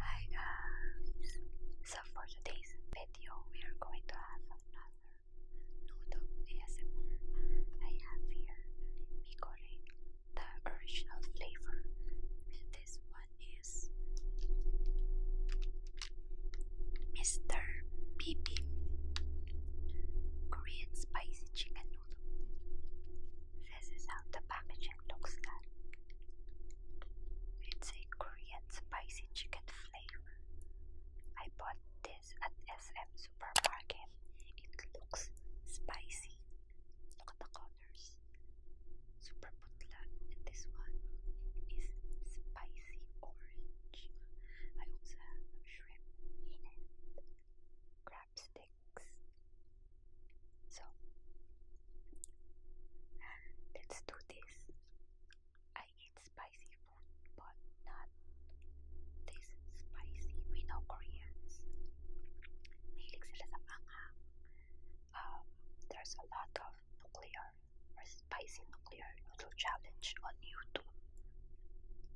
Hi guys! So for today's video we are going to have another noodle ASMR. I have here Mikore, the original flavor. And this one is Mr. Peep, Korean spicy chicken noodle. This is how the packaging looks like. It's a Korean spicy chicken flavor. I bought this at SM Supermarket. It looks spicy. Look at the colors. Super putla and this one is spicy orange. I also have shrimp crab sticks. So let's do this. I eat spicy food, but not this spicy. We know Koreans. Mahilig sila sa anghang. Um, there's a lot of nuclear or spicy nuclear noodle challenge on YouTube.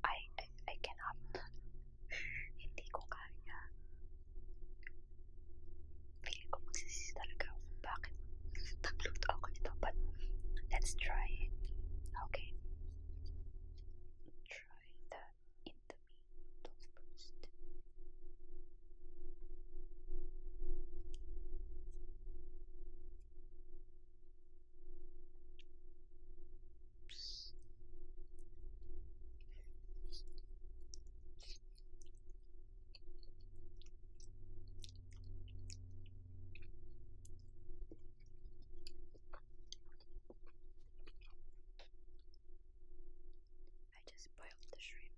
I, I, I cannot. Hindi ko kaya. Feeling ko magsisisi talaga ako bakit ako nito. But let's try it. Okay. Try the indomie noodles first. I just boiled the shrimp.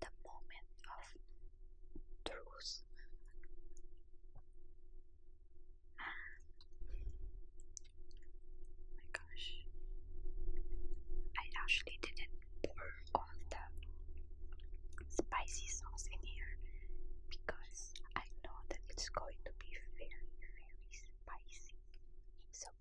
the moment of truth. Ah. my gosh, I actually didn't pour all the spicy sauce in here because I know that it's going to be very, very spicy. So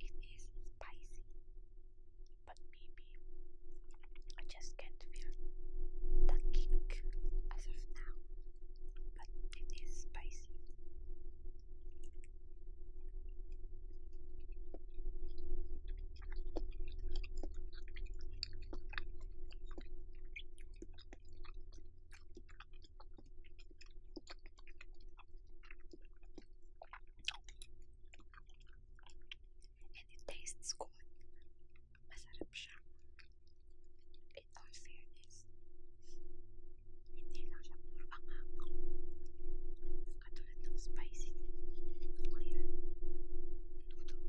It is spicy, but maybe I just can't feel the kick as of now. But it is spicy. And it tastes good. Masarap siya. In all fairness. Hindi lang siya puro pangako. Katulad ng spicy. Clear. Noodle.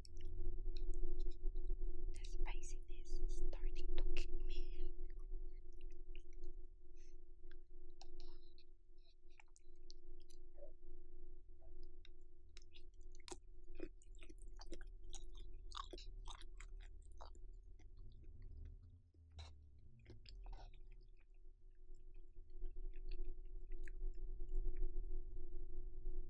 The spiciness is starting to kick in.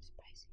Spicy.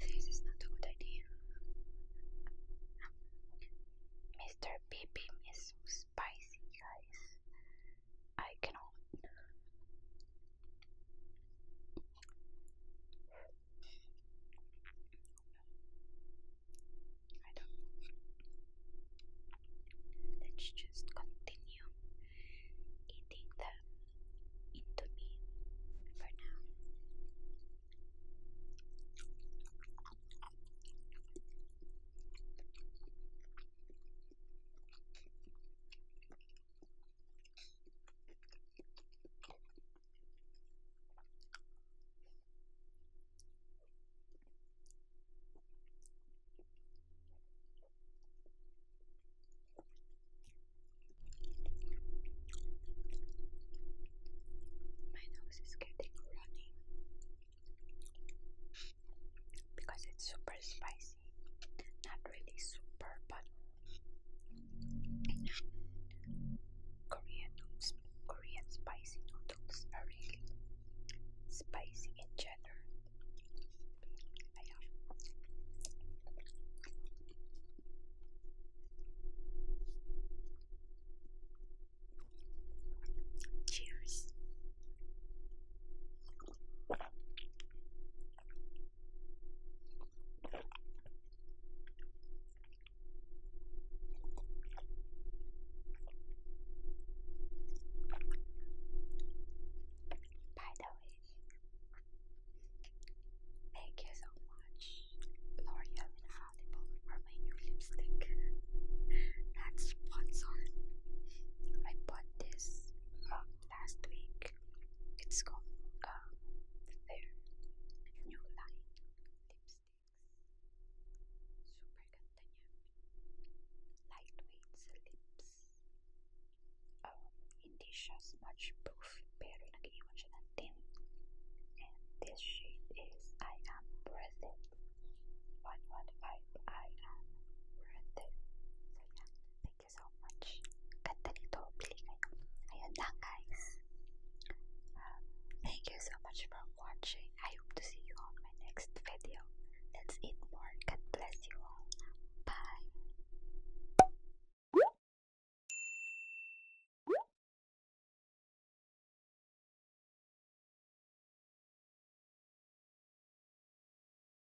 This is not a good idea. Mr. Pippin is spicy, guys. I cannot. I don't Let's just continue eating them into me for now. My nose is getting running because it's super spicy not really super, but Korean noodles, Korean spicy noodles are really spicy in general. Cheers. By the way, thank you so much, L'Oreal Infallible, for my new lipstick. That's sponsored. I bought this uh, last week it's called um, their new line lipsticks. Super ganda niya. Lightweight lips. Um, hindi siya proof pero nag-iwan siya ng tint. And this shade is I Am Worth It. 115 I Am Worth So yeah, thank you so much. Ganda nito. Bili kayo. Ayun lang, guys. Um, thank you so much for watching. I hope to see you on my next video. Let's eat more. God bless you all. Bye.